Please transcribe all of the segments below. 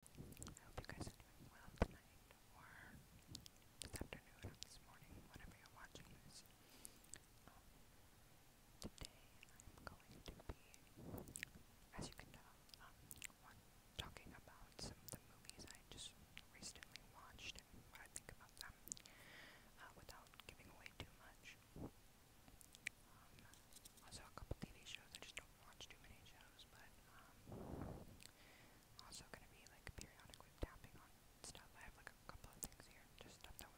I um, today I'm going to be, as you can tell, um, talking about some of the movies I just recently watched what I think about them, uh, without giving away too much. Um, also a couple TV shows I just watch too many shows, but um, also gonna be like periodically tapping on stuff. I have like a couple of things here, just stuff that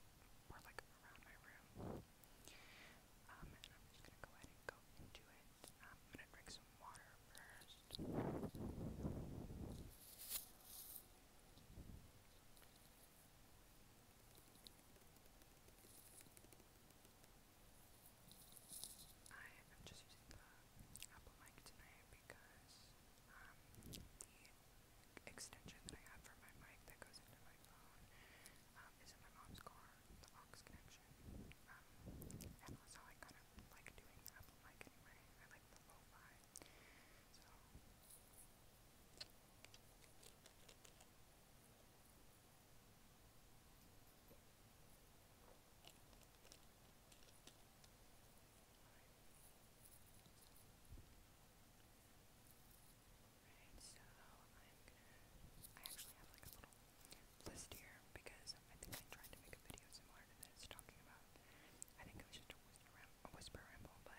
were like around my room. Um, and I'm just gonna go ahead and go into it. Um, I'm gonna drink some water first. I am just using the Apple mic tonight because um, the extension that I have for my mic that goes into my phone um, is in my mom's car, the aux connection. Um, and also I kind of like doing Apple mic anyway. I like the lo-fi. So Right, so I'm gonna. I actually have like a little list here because I think I tried to make a video similar to this talking about. I think it was just a whisper, ram a whisper ramble, but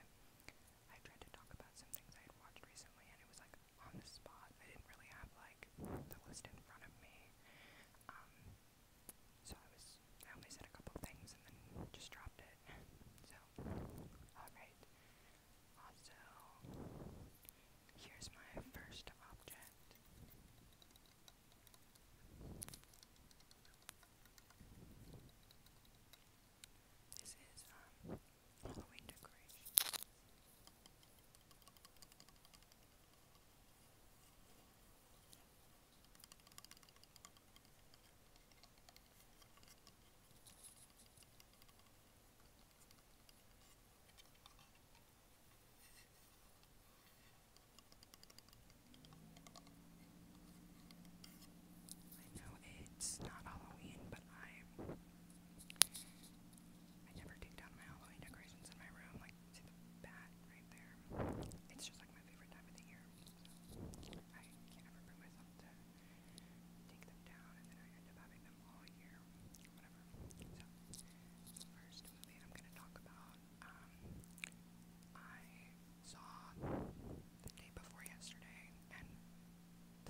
I tried to talk about some things I had watched recently and it was like on the spot. I didn't really have like like the list in front of me. Um, so I was I only said a couple things and then just dropped it. So alright. Also here's my first object. This is um Halloween decorations. I know it's not Halloween, but I'm I never take down my Halloween decorations in my room. Like, see the bat right there? It's just like my favorite time of the year. So I can't ever bring myself to take them down, and then I end up having them all year, whatever. So, first movie I'm going to talk about, um, I saw the day before yesterday, and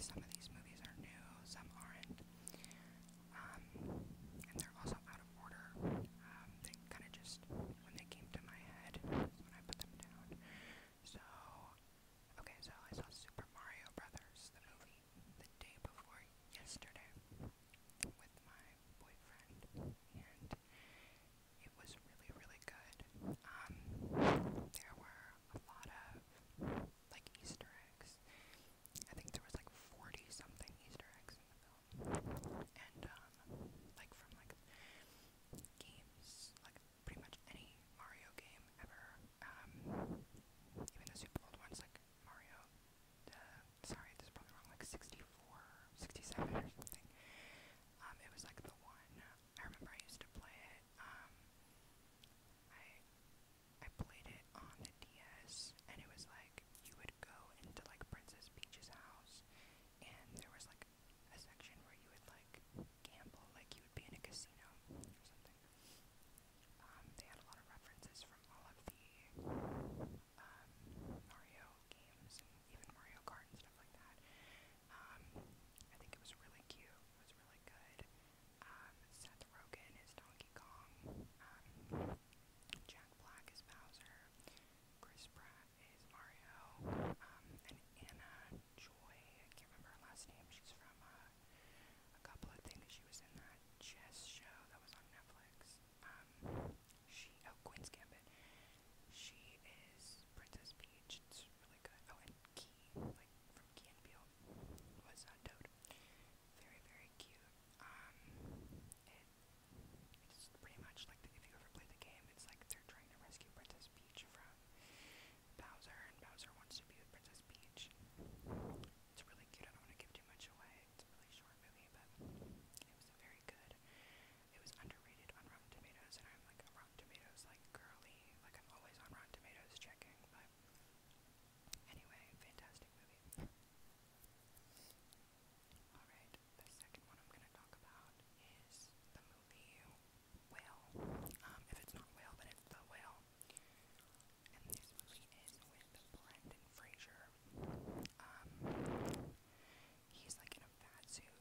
some of these movies are new, some aren't um, and they're also out of order. Um, they kind of just, when they came to my head, that's when I put them down. So, okay, so I saw Super Mario Brothers, the movie, the day before yesterday with my boyfriend, and it was really, really good. Um, there were a lot of, like, Easter eggs. I think there was like 40 something Easter eggs in the film. And um, like from like games like pretty much any Mario game ever. Um, even the super old ones like Mario sorry, this is probably wrong, like 64 or something. Um it was like the one I remember I used to play it. Um I played it on the DS, and it was like you would go into like Princess Peach's house, and there was like a section where you would like gamble, like you would be in a casino or something. Um, they had a lot of references from all of the um, Mario games and even Mario Kart and stuff like that. Um, I think it was really cute. It was really good. Um, Seth Rogen is Donkey Kong. Um, Jack Black is Bowser, Chris Pratt is Mario, um, and Anna Joy, I can't remember her last name, she's from uh, a couple of things, she was in that chess show that was on Netflix, um, she, oh, Queen's Gambit, she is Princess Peach, it's really good, oh, and Key, like, from Key and Peele, was uh, Toad, very, very cute, um, it's pretty much like if you ever play the game, it's like they're trying to rescue Princess Peach from Bowser, and Bowser wants to be with Princess Peach. It's really cute. I don't want to give too much away. It's really short movie, but it was very good. It was underrated on Rotten Tomatoes, and I'm like a Rotten Tomatoes like girly. Like I'm always on Rotten Tomatoes checking, anyway, fantastic movie. Alright, the second one I'm going to talk about is the movie Whale. Um, if it's not Whale, then it's The Whale. And this movie is with Brendan Fraser. Um, he's like in a fat suit.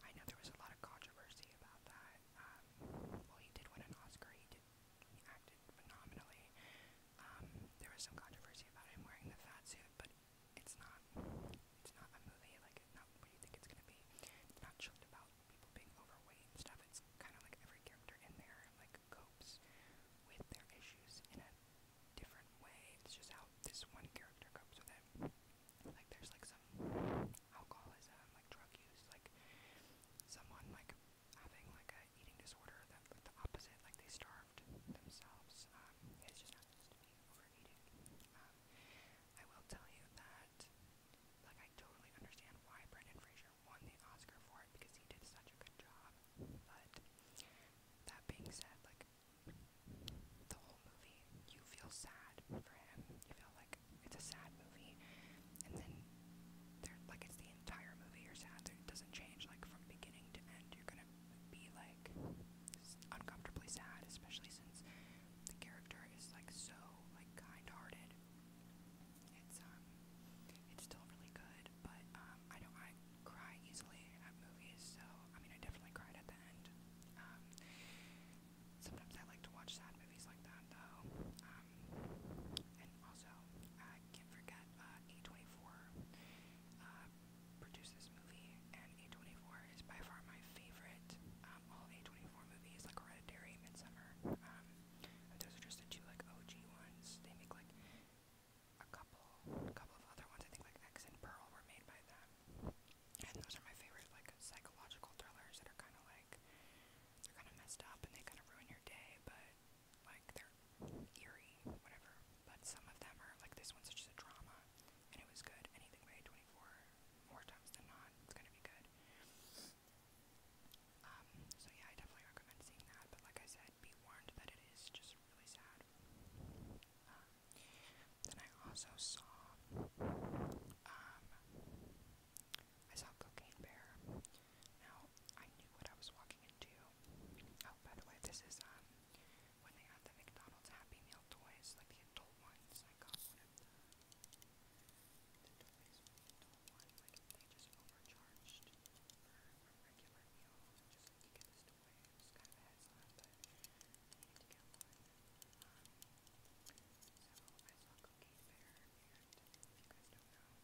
I know there was a lot of controversy about that. Um, well, he did win an Oscar. He did. He acted phenomenally. Um, there was some controversy about him wearing the fat suit, but it's not, it's not a movie, like, not what you think it's gonna be. It's not about people being overweight and stuff. It's kind of like every character in there, like, copes with their issues in a different way. It's just how this one character copes with it. Like, there's, like, some alcoholism, like, drug use, like, someone, like, having like a eating disorder that with the opposite, like they starved themselves. Um, just happens to overeating. I will tell you that, like, I totally understand why Brendan Fraser won the Oscar for it because he did such a good job. But that being said, like, the whole movie, you feel sad for him. You feel like it's a sad movie, and then they're like it's the the entire movie, you're sad that it doesn't change, like, from beginning to end. You're gonna be, like, uncomfortably sad, especially since the character is, like, so, like, kind-hearted. It's, um, it's still really good, but, um, I don't, I cry easily at movies, so, I mean, I definitely cried at the end. Um, sometimes I like to watch sad movies like that, though. Um, and also, I can't forget, uh, A24 uh, produced this movie, and A24 is by far my favorite. Um, all A24 movies, like Hereditary, Midsummer, um, those are just the two like OG ones. They make like a couple, a couple of other ones. I think like X and Pearl were made by them, and those are my favorite like psychological thrillers that are kind of like they're kind of messed up and they kind of ruin your day, but like they're eerie, whatever. But some of them are like this one's just a drama, and it was good. Anything by A24, more times than not, it's gonna be good. Um, so yeah, I definitely recommend seeing that. But like I said, be warned that it is just really sad. Um, then I also saw, um, I saw Cocaine Bear. Now I knew what I was walking into. Oh, by the way, this is um when they had the McDonald's Happy Meal toys, like the adult ones. I got one of the, the toys with the adult one, like they just overcharged for a regular meal. Just like you get this toy, it was kind of a heads on, but I needed to get one. Um, so I saw Cookie Bear, and if you guys don't know,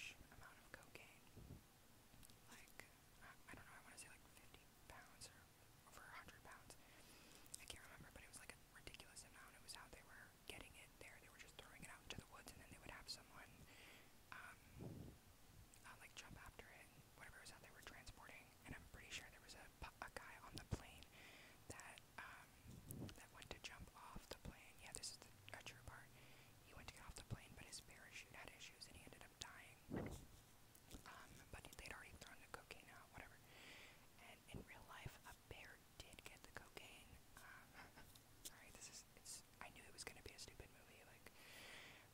huge amount of cocaine. Like, I, I don't know, I want to say like 50 pounds or over 100 pounds. I can't remember, but it was like a ridiculous amount. It was how they were getting it there. They were just throwing it out into the woods, and then they would have someone, um, uh, like jump after it, whatever it was that they were transporting. And I'm pretty sure there was a, a guy on the plane that, um, that went to jump off the plane. Yeah, this is the a true part. He went to get off the plane, but his parachute had issues, and he ended up dying. Um, but they'd already thrown the cocaine whatever. And in real life, a bear did get the cocaine. Um, sorry, this is it's. I knew it was gonna be a stupid movie, like.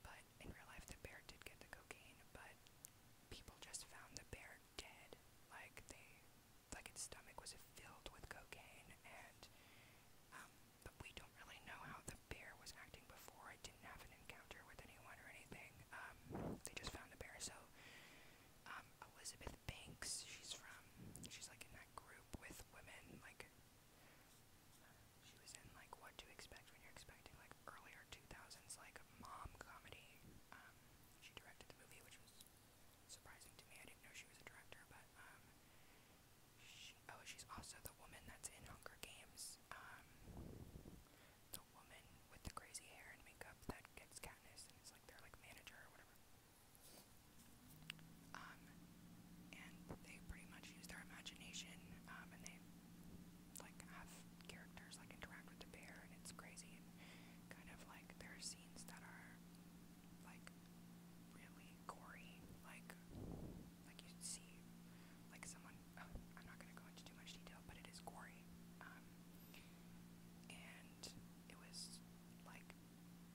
But in real life, the bear did get the cocaine, but people just found the bear dead. Like they, like its stomach was filled with cocaine, and um, but we don't really know how the bear was acting before. I didn't have an encounter with anyone or anything. Um, they just found the bear. So, um, Elizabeth Banks, she's from, she's like in that group with women. Like, she was in like What to Expect When You're Expecting, like earlier 2000s, like mom comedy. Um, she directed the movie, which was surprising to me. I didn't know she was a director, but um, oh, she's also the woman that's in Hunger Games. Um, the woman with the crazy hair and makeup that gets Katniss and is like their like manager or whatever. Um, and they pretty much use their imagination. Um, and they like have characters like interact with the bear, and it's crazy kind of like there are scenes that are like really gory, like like you see, like someone. Uh, I'm not gonna go into too much detail, but it is gory, um, and it was like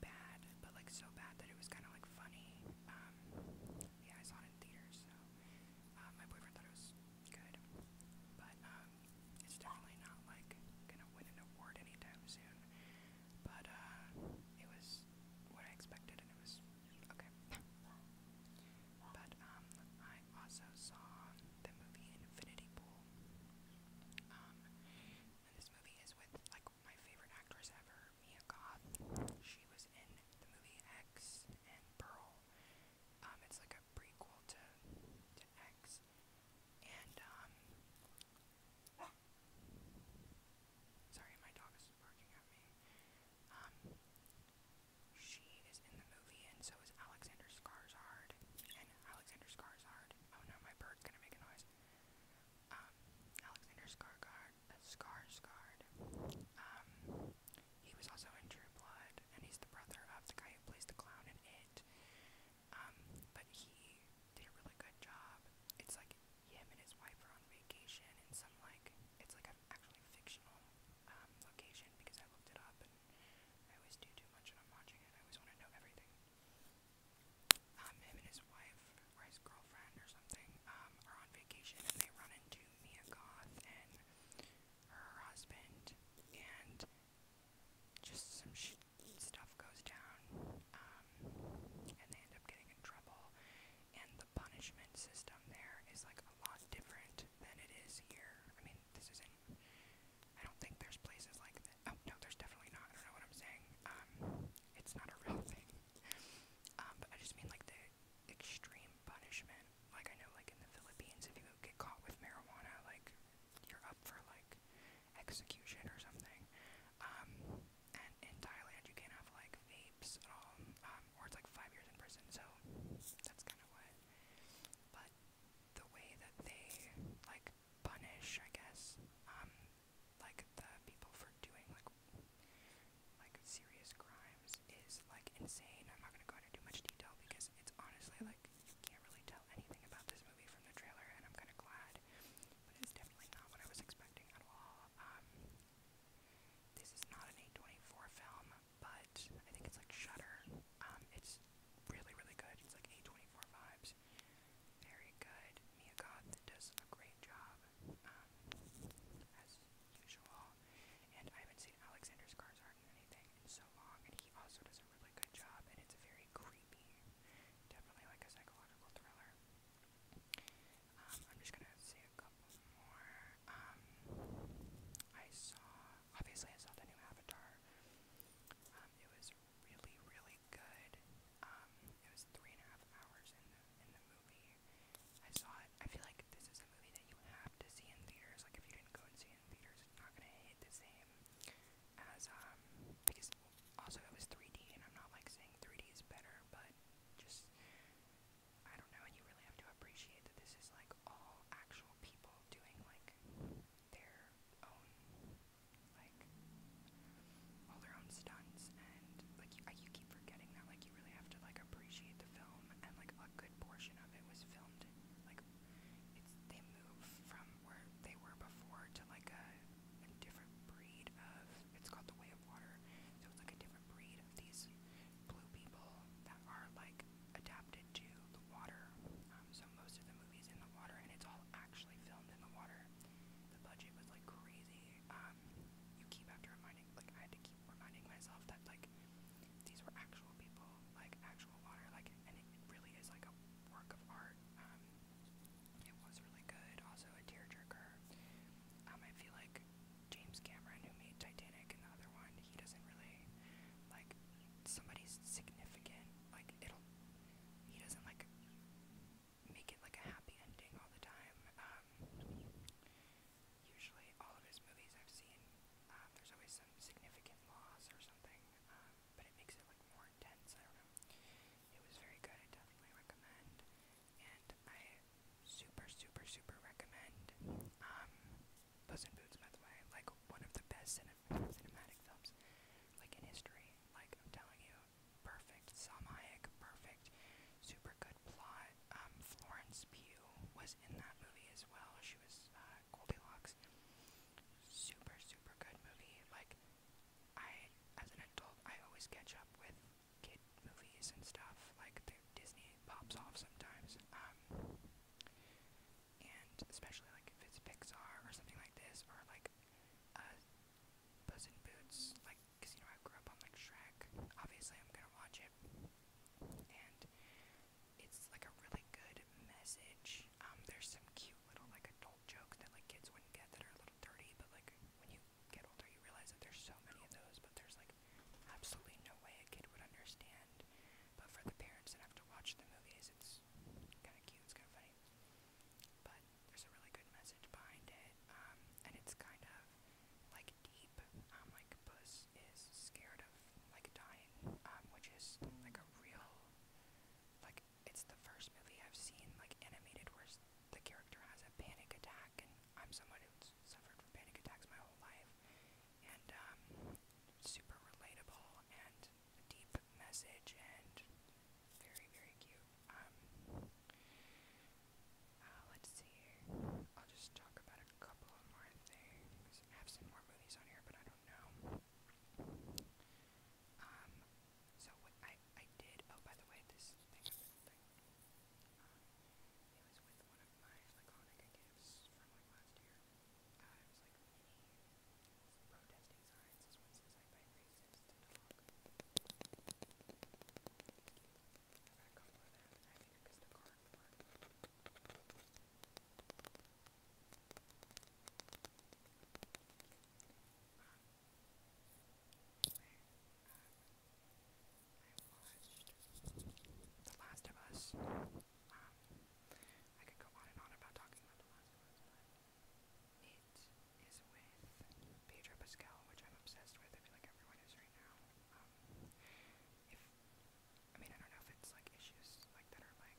bad, but like so bad that it was kind of like funny. Um, yeah, I saw it in theaters, so uh, my boyfriend thought it was good, but um, it's definitely not like gonna win an award anytime soon but uh, it was what I expected, and it was okay. but um, I also saw the movie Infinity Pool. Um, and this movie is with like my favorite actress ever, Mia Goth. She was in the movie X and Pearl. Um, it's like a prequel to to X, and um, Sorry, my dog is barking at me. Um, she is in the movie, and so is Alexander Skarsgård. And Alexander Skarsgård. Oh no, my bird's gonna make a noise. Um, Alexander Skarsgård. Uh, Skarsgård. Um, he was also in True Blood, and he's the brother of the guy who plays the clown in It. but he did a really good job. It's like him and his wife are on vacation in some like it's like an actually fictional um, location because I looked it up and I always do too much when I'm watching it. I always want to know everything. Um, him and his wife or his girlfriend or something um, are on vacation and they run into Mia Goth and her husband and just some sh- stuff goes down. Um, um, and they end up getting in trouble. And the punishment system there is like a lot different than it is here. I mean, this isn't. I don't think there's places like that. Oh no, there's definitely not. I don't know what I'm saying. Um, it's not a real thing. Um, but I just mean like the extreme punishment. Like I know, like in the Philippines, if you get caught with marijuana, like you're up for like execution or something. Um, and in Thailand you can't have like vapes at um, all, um, or it's like five years in prison. So that's kind of what. But the way that they like punish, I guess, um, like the people for doing like like serious crimes is like insane. I'm not gonna go into too much detail because it's honestly like you can't really tell anything about this movie from the trailer, and I'm kind of glad but it's definitely not what I was expecting at um, this is not an 824 film, but I think it's like Shutter. Um, it's really, really good. It's like 824 vibes. Very good. Mia Goth does a great job, um, as usual. And I haven't seen Alexander Skarsgård in anything in so long, and he also does a really good job, and it's a very creepy. Definitely like a psychological thriller. Um, I'm just gonna say a couple more. Um, I saw, obviously, I saw the new Avatar. Um, it was really, really good. Um, it was three and a half hours in the in the movie. I saw it. I feel like this is a movie that you have to see in theaters. Like if you didn't go and see it in theaters, it's not gonna hit the same as um because also, it was 3D, and I'm not like saying 3D is better, but just I don't know. You really have to appreciate that this is like all actual people doing like their own, like all their own stunts, and like you, you keep forgetting that. Like you really have to like appreciate the film, and like a good portion of it was filmed like it's they move from where they were before to like a different breed of it's called the Way of Water. So it's like a different breed of these blue people that are like adapted to the water. Um, so most of the movies in the water, and it's all actually filmed in the water. The budget was like crazy. Um, you keep have to reminding, like I had to keep reminding myself that like these were actual people, like actual water, like, and it really is like a work of art. Um, it was really good, also a tearjerker. Um, I feel like James Cameron, who made Titanic and the other one, he doesn't really like somebody's significant. Like it'll, he doesn't like make it like a happy ending all the time. Um, usually, all of his movies I've seen, um, there's always some significant loss or something, um, but it makes it like more intense. I don't know. It was very good. I definitely recommend and I super, super, super recommend um, Puss Boots, by the way, like one of the best cinematic films, like in history, like I'm telling you, perfect, Salma perfect, super good plot, um, Florence Pugh was in that movie as well, she was uh, Goldilocks, super, super good movie, like, I, as an adult, I always catch up with kid movies and stuff like the Disney pops off sometimes, um, and especially like if it's Pixar or something like this, or like uh, Puss in Boots, like because you know I grew up on like Shrek. Obviously, I'm gonna watch it, and it's like a really good message. Um, there's some cute little like adult jokes that like kids wouldn't get that are a little dirty, but like when you get older, you realize that there's so many of those, but there's like absolutely no way a kid would understand. But for the parents that have to watch the movies, it's kind of cute, it's kind of funny. But there's a really good message behind it, um, and it's kind of like deep. Um, like Puss is scared of like dying, um, which is like a real like it's the first movie I've seen like animated where the character has a panic attack and I'm someone who's suffered from panic attacks my whole life, and um, super relatable and a deep message and very very cute. Um, uh, let's see. I'll just talk about a couple of more things. I have some more movies on here, but I don't know. Um, so what I I did. Oh, by the way, this thing thing. Um, was with one of my Laconica gifts from last year. Uh, was like mini protesting signs. This one says, I buy racists the card part. The Last of Us. Um, I could go on and on about talking about The Last of Us, it is with Pedro Pascal, which I'm obsessed with. I like everyone is right now. Um, if I mean, I don't know if it's like issues like that are like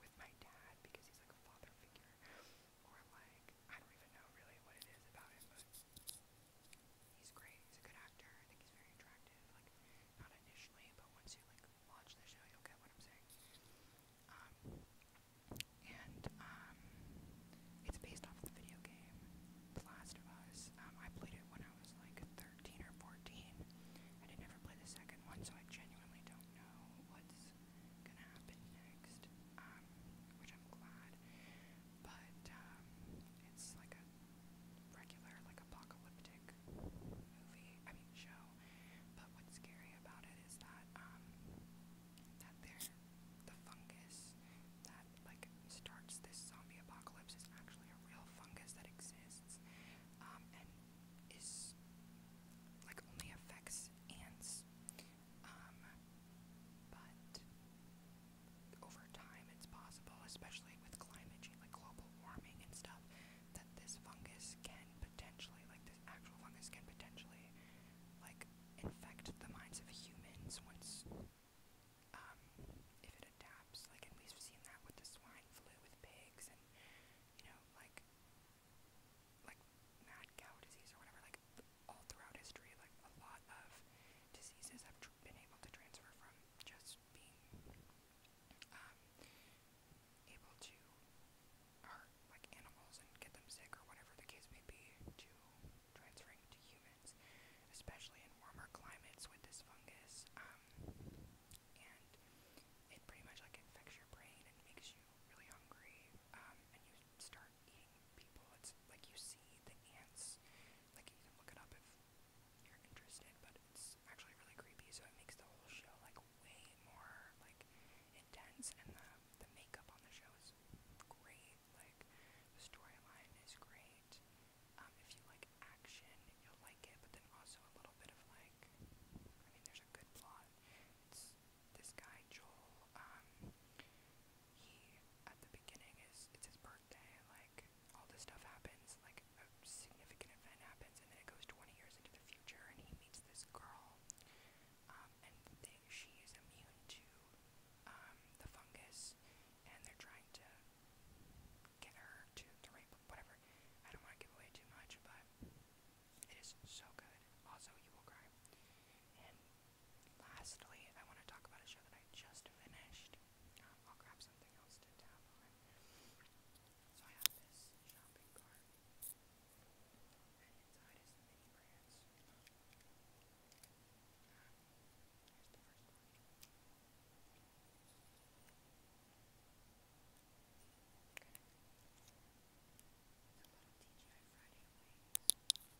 with my dad because he's like a father figure, or like I don't even know really what it is about him, he's great. He's a good actor. I think he's very attractive. Like, not initially, but once you like watch the show, you'll get what I'm saying. Um, and um, it's based off of the video game, The Last of Us. Um, I played it when I was like 13 or 14. I didn't ever play the second one, so I genuinely don't know what's gonna happen next. Um, which I'm glad but um, it's like a regular, like apocalyptic movie. I mean, show. But what's scary about it is that um, that there, the fungus that like starts this zombie apocalypse is actually a real fungus that exists, um, and is like only affects ants. Um, but over time, it's possible, especially with climate change, like global warming and stuff, that this fungus can potentially, like this actual fungus, can potentially, like, infect the minds of humans once, um, if it adapts. Like, we've seen that with the swine flu with pigs, and you know, like, like mad cow disease or whatever. Like, all throughout history, like a lot of diseases have tr been able to transfer from just being um, able to hurt like animals and get them sick or whatever the case may be to transferring to humans, especially in warmer climates with this fungus. Um, and it pretty much like infects your brain and makes you really hungry, um, and you start aren't eating people. It's like you see the ants, like you can look it up if you're interested, but it's actually really creepy, so it makes the whole show like way more like intense, and the the makeup on the show is great. Like the storyline is great. Um, if you like action, you'll like it, but then also a little bit of like, I mean, there's a good plot. It's this guy Joel. Um, he at the beginning is it's his birthday birthday, like all this stuff happens, like a significant event happens, and then it goes 20 years into the future, and he meets this girl, um, and they, she is immune to um, the fungus, and they're trying to get her to the right, whatever. I don't want to give away too much, but it is so good. Also, you will cry. And lastly, I want to talk about a show that I just finished. Um, I'll grab something else to tap on. So I have this shopping cart, and inside is the brands. Um,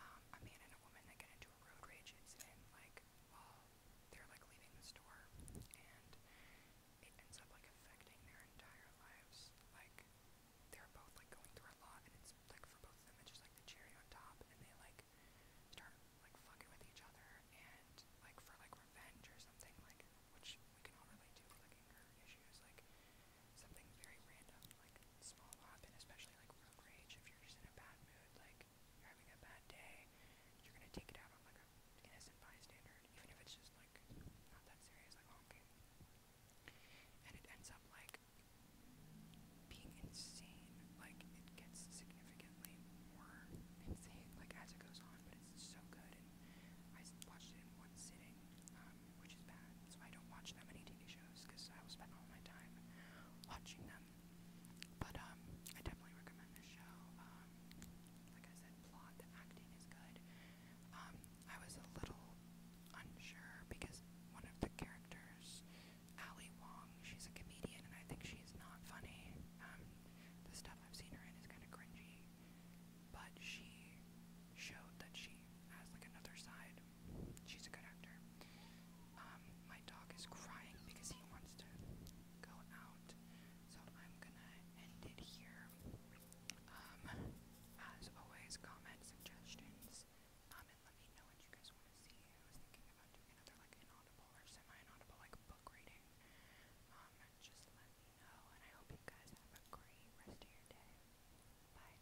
um, a man and a woman that get into a road rage incident, like, while they're, like, leaving the store, and it ends up, like, affecting their entire lives, like, they're both, like, going through a lot, and it's, like, for both of them, it's just, like, the cherry on top, and they, like, start, like, fucking with each other, and, like, for, like, revenge or something, like, which we can all relate to, like, issues, like, something very random, like, small up, and especially like road rage, if you're just in a bad mood, like you're having a bad day, you're gonna take it out on like an innocent bystander, even if it's just like not that serious, like oh, okay. And it ends up like being insane, like it gets significantly more insane, like as it goes on, but it's so good, and I watched it in one sitting, um, which is bad. That's I don't watch that many TV shows, because I will spend all my time watching them. But um, I definitely recommend this show. Um, like I said, plot, the acting is good. Um, I was a little unsure because one of the characters, Ali Wong, she's a comedian, and I think she's not funny. the stuff I've seen her in is kind of cringy, but she showed that she has like another side She's a good actor. Um, my dog is crying because he wants to go out, so I'm gonna end it here. Um, as always, comment suggestions. Um, and let me know what you guys want to see. I was thinking about doing another like inaudible or semi-inaudible like book reading. Um, just let me know, and I hope you guys have a great rest of your day. Bye.